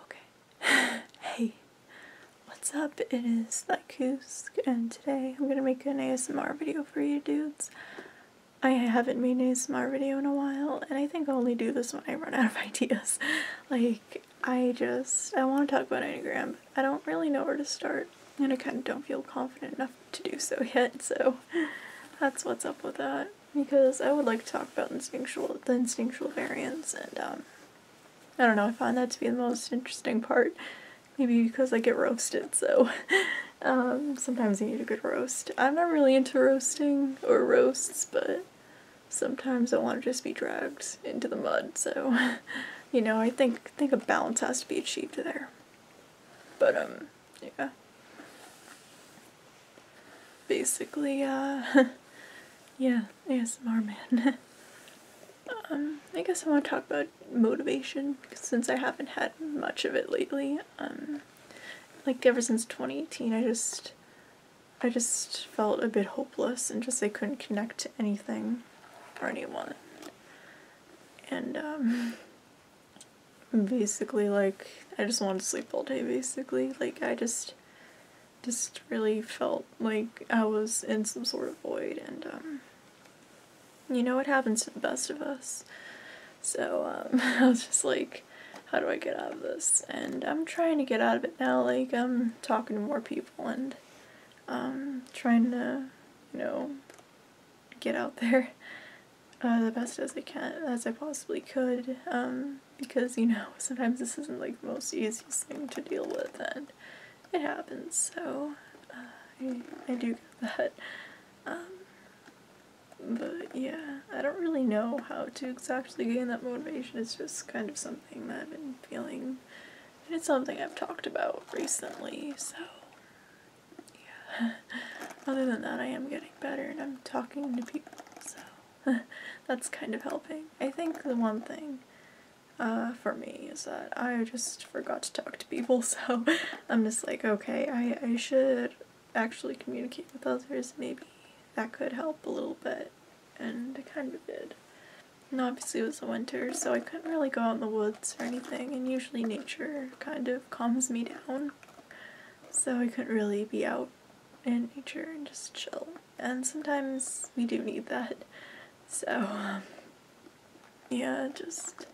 Okay. hey, what's up? It is that and today I'm gonna make an ASMR video for you dudes. I haven't made an ASMR video in a while, and I think I'll only do this when I run out of ideas. like, I just, I want to talk about Enneagram, but I don't really know where to start, and I kind of don't feel confident enough to do so yet, so that's what's up with that because I would like to talk about instinctual the instinctual variants and um, I don't know, I find that to be the most interesting part. Maybe because I get roasted, so um, sometimes I need a good roast. I'm not really into roasting or roasts, but sometimes I want to just be dragged into the mud, so you know, I think think a balance has to be achieved there. But um yeah. Basically, uh, yeah, ASMR man. um, I guess I want to talk about motivation since I haven't had much of it lately. Um, like ever since 2018, I just, I just felt a bit hopeless and just I couldn't connect to anything or anyone. And, um, basically like I just wanted to sleep all day basically like I just just really felt like I was in some sort of void and um, you know what happens to the best of us so um, I was just like how do I get out of this and I'm trying to get out of it now like I'm um, talking to more people and trying to you know get out there uh, the best as I can, as I possibly could, um, because, you know, sometimes this isn't, like, the most easiest thing to deal with, and it happens, so, uh, I, do get that, um, but, yeah, I don't really know how to exactly gain that motivation, it's just kind of something that I've been feeling, and it's something I've talked about recently, so, yeah. other than that, I am getting better and I'm talking to people, so that's kind of helping. I think the one thing uh, for me is that I just forgot to talk to people, so I'm just like, okay, I, I should actually communicate with others. Maybe that could help a little bit, and it kind of did. And obviously it was the winter, so I couldn't really go out in the woods or anything, and usually nature kind of calms me down so I couldn't really be out in nature and just chill. And sometimes we do need that. So, yeah, just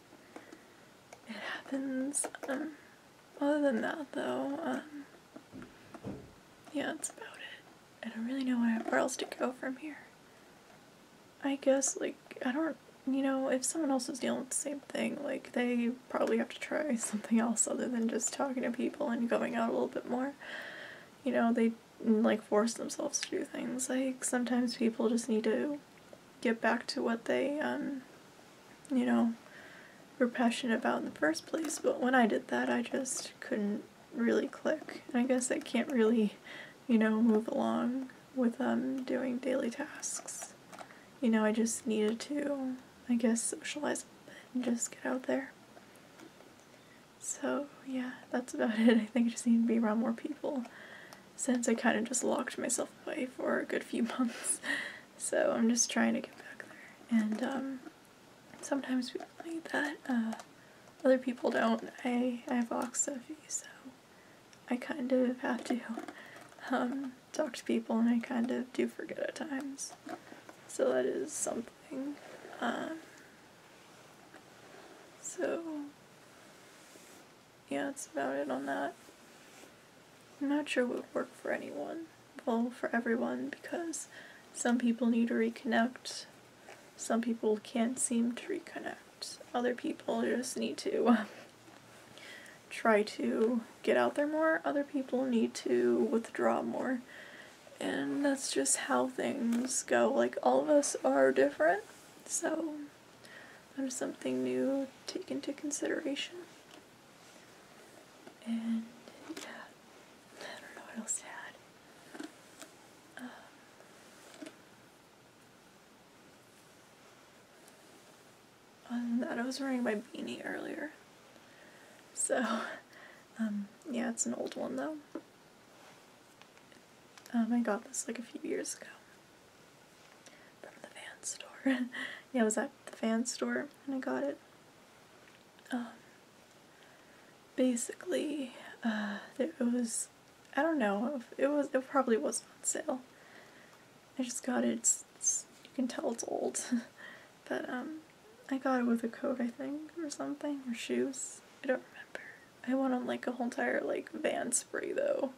it happens. Um, other than that, though, um, yeah, that's about it. I don't really know where else to go from here. I guess, like, I don't you know, if someone else is dealing with the same thing, like they probably have to try something else other than just talking to people and going out a little bit more. You know, they like force themselves to do things. Like sometimes people just need to get back to what they, um, you know, were passionate about in the first place. But when I did that, I just couldn't really click. I guess I can't really, you know, move along with um, doing daily tasks you know, I just needed to, I guess, socialize a bit and just get out there. So, yeah, that's about it. I think I just need to be around more people since I kind of just locked myself away for a good few months. So, I'm just trying to get back there. And um, sometimes we need that. Uh, other people don't. I, I have lots of oxophy, so I kind of have to um, talk to people and I kind of do forget at times. So that is something. Um, so, yeah, that's about it on that. I'm not sure what would work for anyone. Well, for everyone, because some people need to reconnect, some people can't seem to reconnect, other people just need to. try to get out there more, other people need to withdraw more. And that's just how things go. Like, all of us are different, so there's something new to take into consideration. And yeah, I don't know what else to add. Um, um, that, I was wearing my beanie earlier. So, um, yeah, it's an old one though. Um, I got this like a few years ago from the fan store. yeah, I was at the fan store and I got it. basically, uh, it was I don't know. It was. It probably was on sale. I just got it. you can tell it's old, but um, I got it with a coat I think or something or shoes. I don't remember. I went on like a whole entire like van spray though,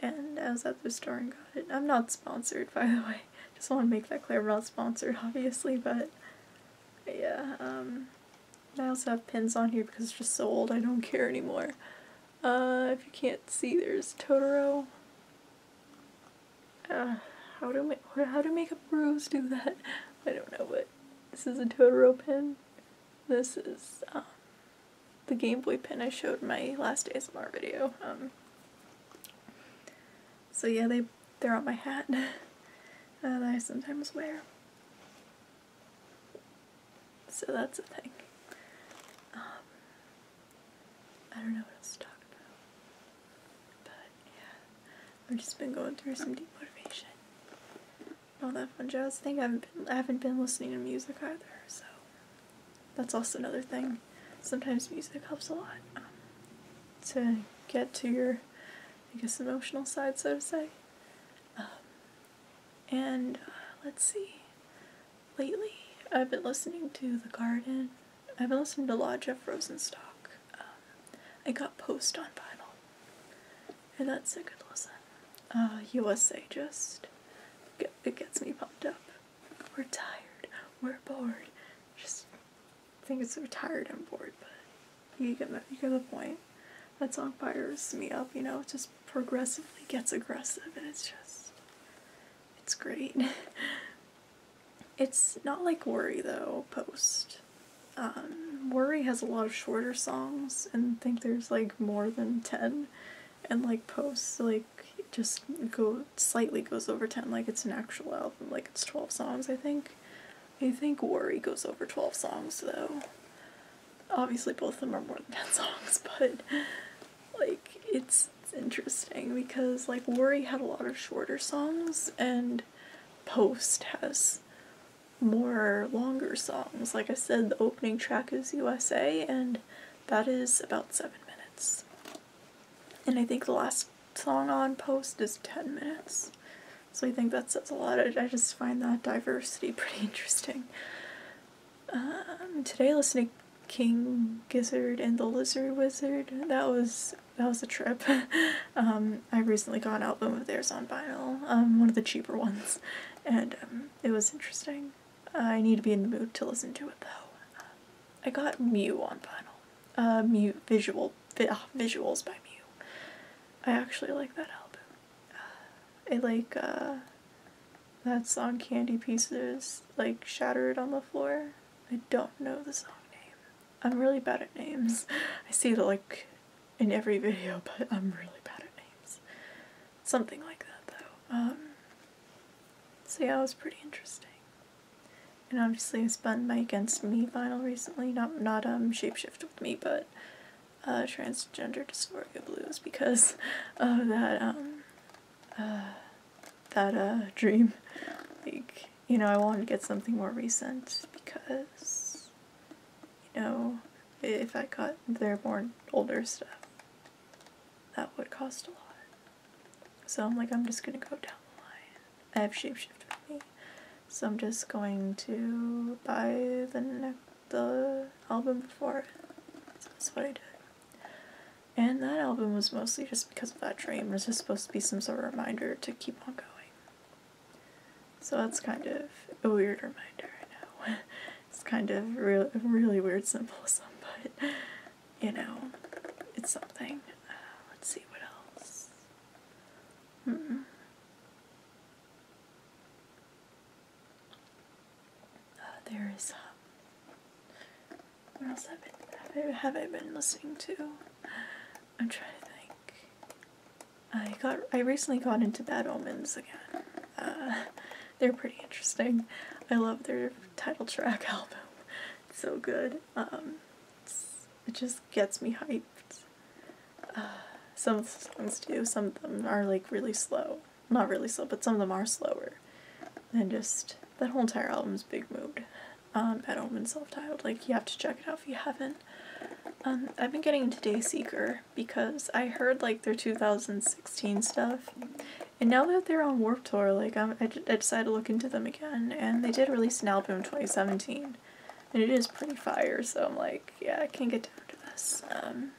and I was at the store and got it. I'm not sponsored by the way. Just want to make that clear. I'm not sponsored obviously, but yeah. Um, I also have pins on here because it's just so old. I don't care anymore. Uh, if you can't see, there's Totoro. Uh, how do ma how do makeup bros do that? I don't know, but this is a Totoro pin. This is um, the Game Boy pin I showed my last ASMR video. Um. so yeah, they they're on my hat that I sometimes wear. So that's a thing. Um, I don't know what else to talk about. But yeah, I've just been going through some deep motivation. All that fun jazz thing. I have been I haven't been listening to music either, so that's also another thing. Sometimes music helps a lot um, to get to your, I guess, emotional side, so to say. Um, and uh, let's see. Lately, I've been listening to The Garden. I've been listening to a of Jeff Rosenstock. Um, I got Post on Bible, and that's a good listen. USA uh, just gets me pumped up. We're tired. We're bored. Just think it's we're tired and bored, but you get my, you get the point that song fires me up, you know, it just progressively gets aggressive and it's just it's great. it's not like Worry though, post. Um, Worry has a lot of shorter songs and I think there's like more than 10 and like post like just go slightly goes over 10 like it's an actual album like it's 12 songs I think. I think Worry goes over 12 songs though obviously both of them are more than 10 songs, but like it's, interesting because like Worry had a lot of shorter songs and Post has more longer songs. Like I said, the opening track is USA and that is about 7 minutes. And I think the last song on Post is 10 minutes. So I think that says a lot. I just find that diversity pretty interesting. Um, today I listened to King Gizzard and the Lizard Wizard. That was that was a trip. Um, I recently got an album of theirs on vinyl, um, one of the cheaper ones, and it was interesting. I need to be in the mood to listen to it though. I got Mew on vinyl. Uh, Mew visual ah, visuals by Mew. I actually like that album. Uh, I like uh, that song Candy Pieces, like Shattered on the Floor. I don't know the song name. I'm really bad at names. I see it like in every video, but I'm really bad at names. Something like that though. Um, so yeah, it was pretty interesting. And obviously I spun my Against Me vinyl recently, not, not um, Shapeshift With Me, but uh, transgender dysphoria blues because of that um, uh, that uh, dream. Like you know, I want to get something more recent because you know if I got their more older stuff, that would cost a lot. So I'm like, I'm just gonna go down the line. I have shapeshift with me, so I'm just going to buy the next the album before. that's what I did. And that album was mostly just because of that dream. It was just supposed to be some sort of reminder to keep on going. So that's kind of a weird reminder, I know. it's kind of real, really weird symbolism, but you know, it's something. Uh, let's see what else. Uh, there is. Um, what else have I, been, listening to? I'm trying to think. I got I recently got into Bad Omens again. Uh, they're pretty interesting. I love their title track album. so good. Um, it just gets me hyped. some songs do. Some of them are like really slow. Not really slow, but some of them are slower. And just that whole entire album's big mood. Um, at home and self-titled. Like you have to check it out if you haven't. Um, I've been getting into Day Seeker because I heard like their 2016 stuff, and now that they're on Warp Tour, like i I decided to look into them again, and they did release an album in 2017 and it is pretty fire, so I'm like, yeah, I can not get down to this. Um,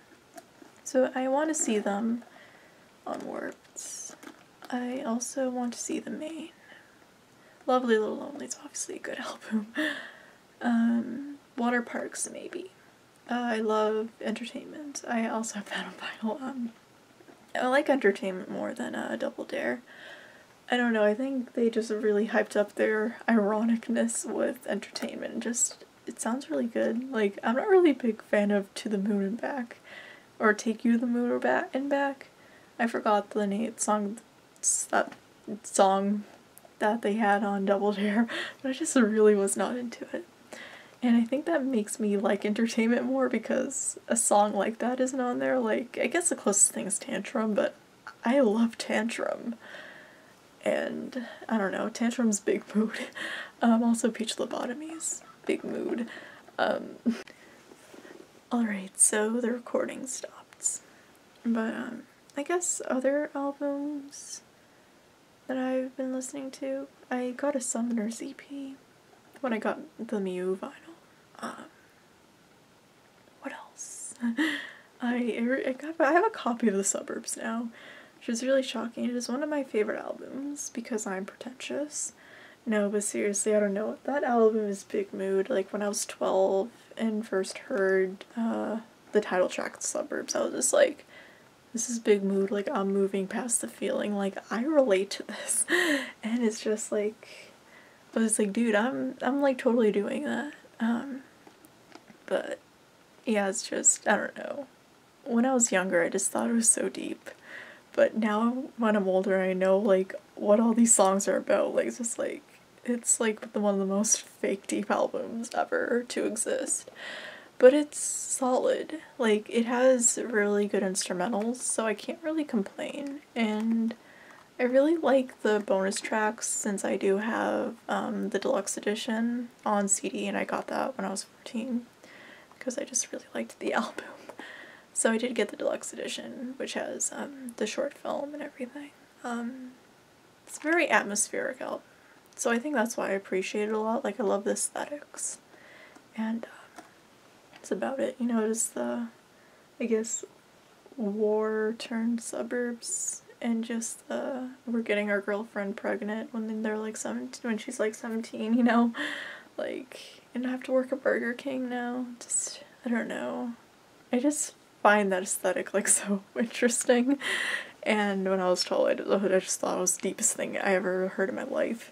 so I want to see them on Warped. I also want to see the main. Lovely Little Lonely is obviously a good album. Um, water parks, maybe. Uh, I love entertainment. I also have that on vinyl. Um, I like entertainment more than a uh, Double Dare. I don't know, I think they just really hyped up their ironicness with entertainment. Just, it sounds really good. Like, I'm not really a big fan of To the Moon and Back, or Take You to the Moon or back and Back. I forgot the name, song, that song that they had on Double Dare, but I just really was not into it. And I think that makes me like entertainment more because a song like that isn't on there. Like, I guess the closest thing is Tantrum, but I love Tantrum. And I don't know, Tantrum's big mood. Um, also, Peach lobotomies big mood. Um, alright, so the recording stops. But um, I guess other albums that I've been listening to, I got a Summoner's EP when I got the Mew vinyl what else? I, I, have a copy of The Suburbs now, which is really shocking. It is one of my favorite albums because I'm pretentious. No, but seriously, I don't know. That album is big mood. Like, when I was 12 and first heard uh, the title track, Suburbs, I was just like, this is big mood. Like, I'm moving past the feeling. Like, I relate to this. And it's just like, I was like, dude, I'm I'm like totally doing that. Um, but yeah, it's just I don't know. When I was younger, I just thought it was so deep, but now when I'm older, I know like what all these songs are about. Like it's just like it's like the, one of the most fake deep albums ever to exist. But it's solid. Like it has really good instrumentals, so I can't really complain. And I really like the bonus tracks since I do have um, the deluxe edition on CD and I got that when I was 14 because I just really liked the album. So I did get the deluxe edition which has um, the short film and everything. Um, it's very atmospheric out. so I think that's why I appreciate it a lot. Like I love the aesthetics and that's about it. You know, just the I guess war turned suburbs and just uh, we're getting our girlfriend pregnant when they're like 17 when she's like 17 you know like and I have to work at Burger King now just I don't know I just find that aesthetic like so interesting and when I was told I just thought it was the deepest thing I ever heard in my life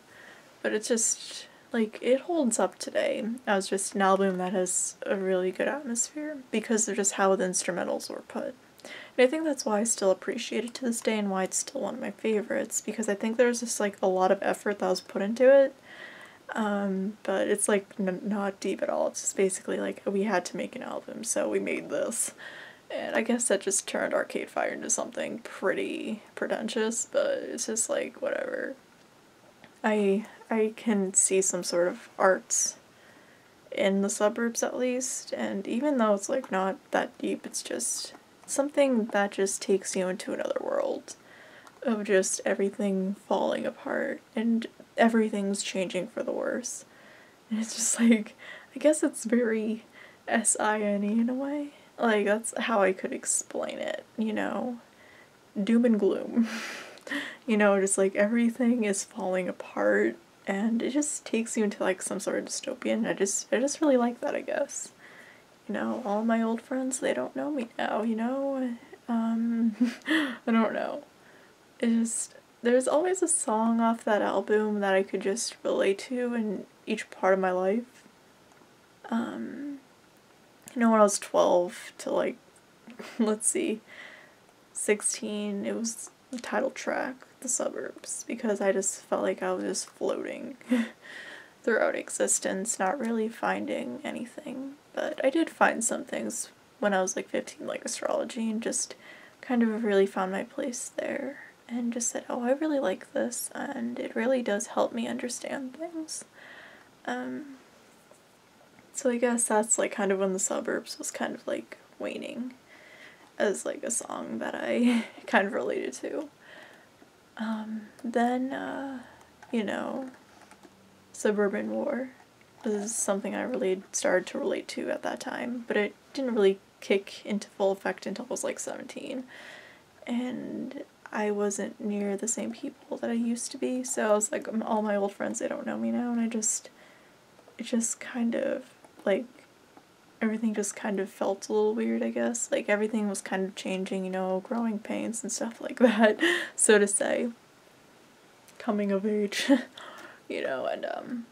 but it's just like it holds up today as just an album that has a really good atmosphere because of just how the instrumentals were put. And I think that's why I still appreciate it to this day and why it's still one of my favorites because I think there's just like a lot of effort that was put into it. Um, but it's like not deep at all. It's just basically like we had to make an album, so we made this. And I guess that just turned Arcade Fire into something pretty pretentious, but it's just like whatever. I I can see some sort of arts in the suburbs at least, and even though it's like not that deep, it's just something that just takes you into another world of just everything falling apart and everything's changing for the worse. And it's just like I guess it's very S I N E in a way. Like that's how I could explain it, you know doom and gloom. you know, just like everything is falling apart and it just takes you into like some sort of dystopian. I just I just really like that, I guess. You know, all my old friends, they don't know me now, you know? Um I don't know. It just there's always a song off that album that I could just relate to in each part of my life. Um, you know, when I was 12 to like, let's see, 16, it was the title track, The Suburbs, because I just felt like I was just floating throughout existence, not really finding anything. But I did find some things when I was like 15, like astrology, and just kind of really found my place there and just said, oh, I really like this, and it really does help me understand things. Um, so I guess that's like kind of when the suburbs was kind of like waning as like a song that I kind of related to. Um, then, uh, you know, suburban war was something I really started to relate to at that time, but it didn't really kick into full effect until I was like 17. And I wasn't near the same people that I used to be. So I was like, all my old friends, they don't know me now. And I just, it just kind of, like, everything just kind of felt a little weird, I guess. Like, everything was kind of changing, you know, growing pains and stuff like that, so to say. Coming of age, you know, and, um,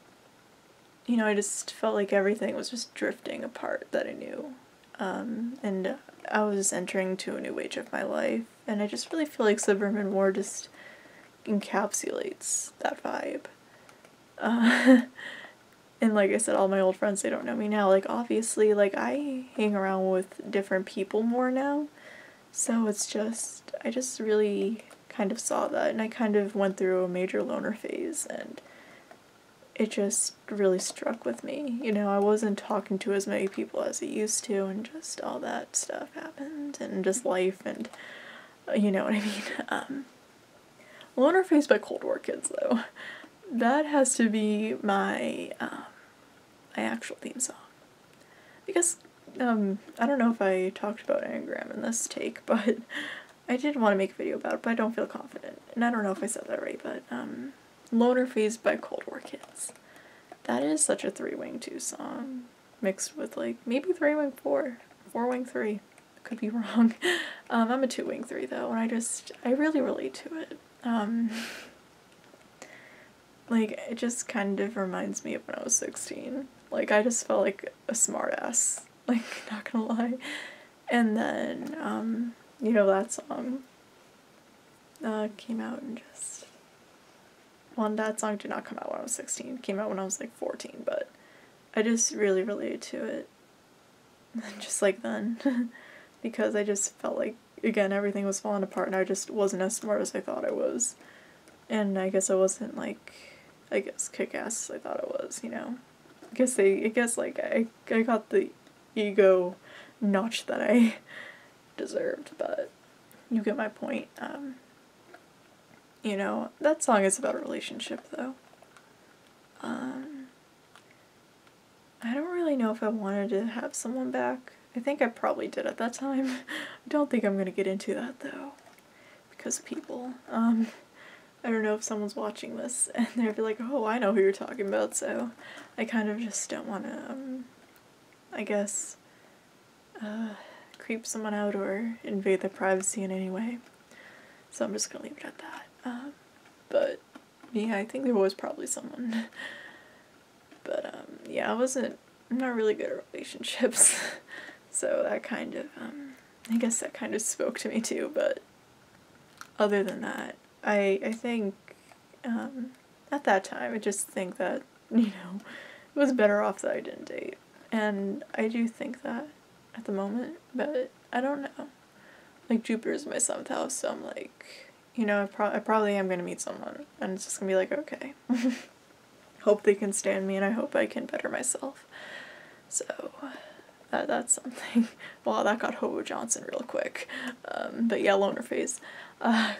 you know, I just felt like everything was just drifting apart that I knew um, and I was entering to a new age of my life, and I just really feel like Suburban War just encapsulates that vibe. Uh, and like I said, all my old friends, they don't know me now. Like, obviously, like, I hang around with different people more now. So it's just, I just really kind of saw that, and I kind of went through a major loner phase, and it just really struck with me. You know, I wasn't talking to as many people as I used to, and just all that stuff happened, and just life, and uh, you know what I mean. Um, Alone Faced by Cold War Kids, though, that has to be my um, my actual theme song, because um, I don't know if I talked about Enneagram in this take, but I did want to make a video about it, but I don't feel confident, and I don't know if I said that right, but um. Loner Phase by Cold War Kids. That is such a three wing two song. Mixed with like maybe three wing four, four wing three. Could be wrong. Um, I'm a two wing three though, and I just I really relate to it. Um, like it just kind of reminds me of when I was sixteen. Like I just felt like a smartass. Like not gonna lie. And then, um, you know, that song uh, came out and just. one that song did not come out when I was 16. came out when I was like 14, but I just really related to it. just like then. because I just felt like, again, everything was falling apart and I just wasn't as smart as I thought I was. And I guess I wasn't like, I guess, kick ass as I thought I was, you know? I guess they I guess like I I got the ego notch that I deserved, but you get my point. Um, you know, that song is about a relationship though. Um, I don't really know if I wanted to have someone back. I think I probably did at that time. I don't think I'm gonna get into that though, because of people. Um, I don't know if someone's watching this and they'd be like, oh, I know who you're talking about, so I kind of just don't want to, um, I guess, uh, creep someone out or invade their privacy in any way. So I'm just gonna leave it at that. Um, but yeah, I think there was probably someone. But um, yeah, I wasn't, I'm not really good at relationships. so that kind of, I guess that kind of spoke to me too, but other than that, I I think um, at that time I just think that you know it was better off that I didn't date, and I do think that at the moment, but I don't know. Like Jupiter is my seventh house, so I'm like, you know, I, pro- I probably am gonna meet someone, and it's just gonna be like, okay, hope they can stand me, and I hope I can better myself. So, that's something. Wow, that got Hobo Johnson real quick. Um, but yeah, Loner Face, a uh,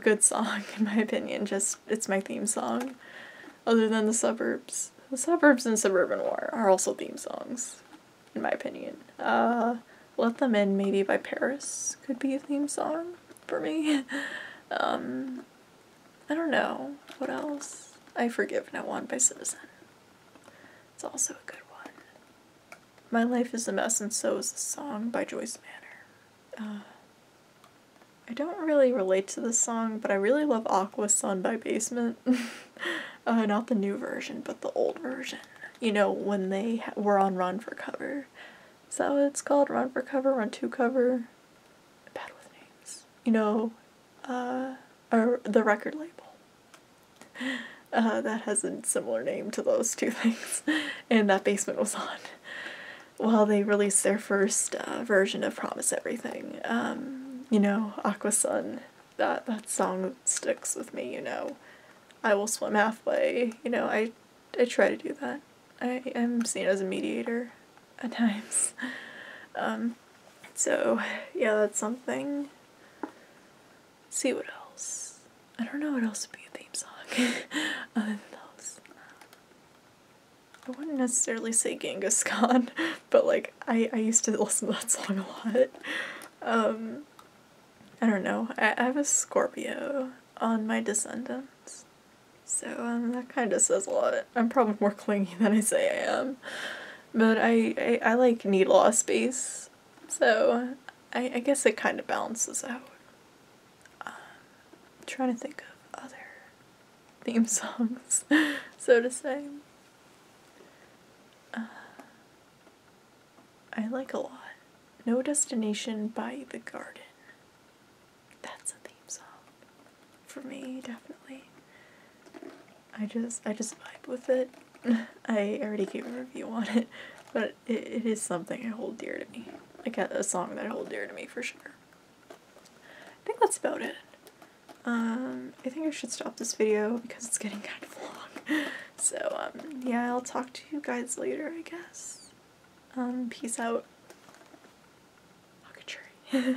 good song, in my opinion. Just, it's my theme song. Other than The Suburbs. The Suburbs and Suburban War are also theme songs, in my opinion. Uh, Let Them In, maybe by Paris, could be a theme song for me. Um, I don't know. What else? I Forgive No One by Citizen. It's also a good one. My Life is a Mess and So is the Song by Joyce Manor. Uh, I don't really relate to this song, but I really love Aqua Sun by Basement. Uh, not the new version, but the old version. You know, when they were on Run for Cover. Is that what it's called? Run for Cover? Run to Cover? bad with names. You know, uh, or the record label. Uh, that has a similar name to those two things, and that basement was on while they released their first uh, version of Promise Everything. Um, you know, Aqua Sun, that, that song sticks with me, you know. I will swim halfway, you know, I, I try to do that. I am seen as a mediator at times. Um, so, yeah, that's something. see what else. I don't know what else would be a theme song I wouldn't necessarily say Genghis Khan, but like I, I used to listen to that song a lot. Um, I don't know. I, have a Scorpio on my descendants. So um, that kind of says a lot. I'm probably more clingy than I say I am. But I, I, like need a lot of space. So I, I guess it kind of balances out. I'm trying to think of other theme songs, so to say. Uh, I like a lot. No Destination by The Garden. That's a theme song for me, definitely. I just I just vibe with it. I already gave a review on it, but it is something I hold dear to me. I got a song that I hold dear to me for sure. I think that's about it. Um, I think I should stop this video because it's getting kind of long. So, um, yeah, I'll talk to you guys later, I guess. Um, peace out. Fuck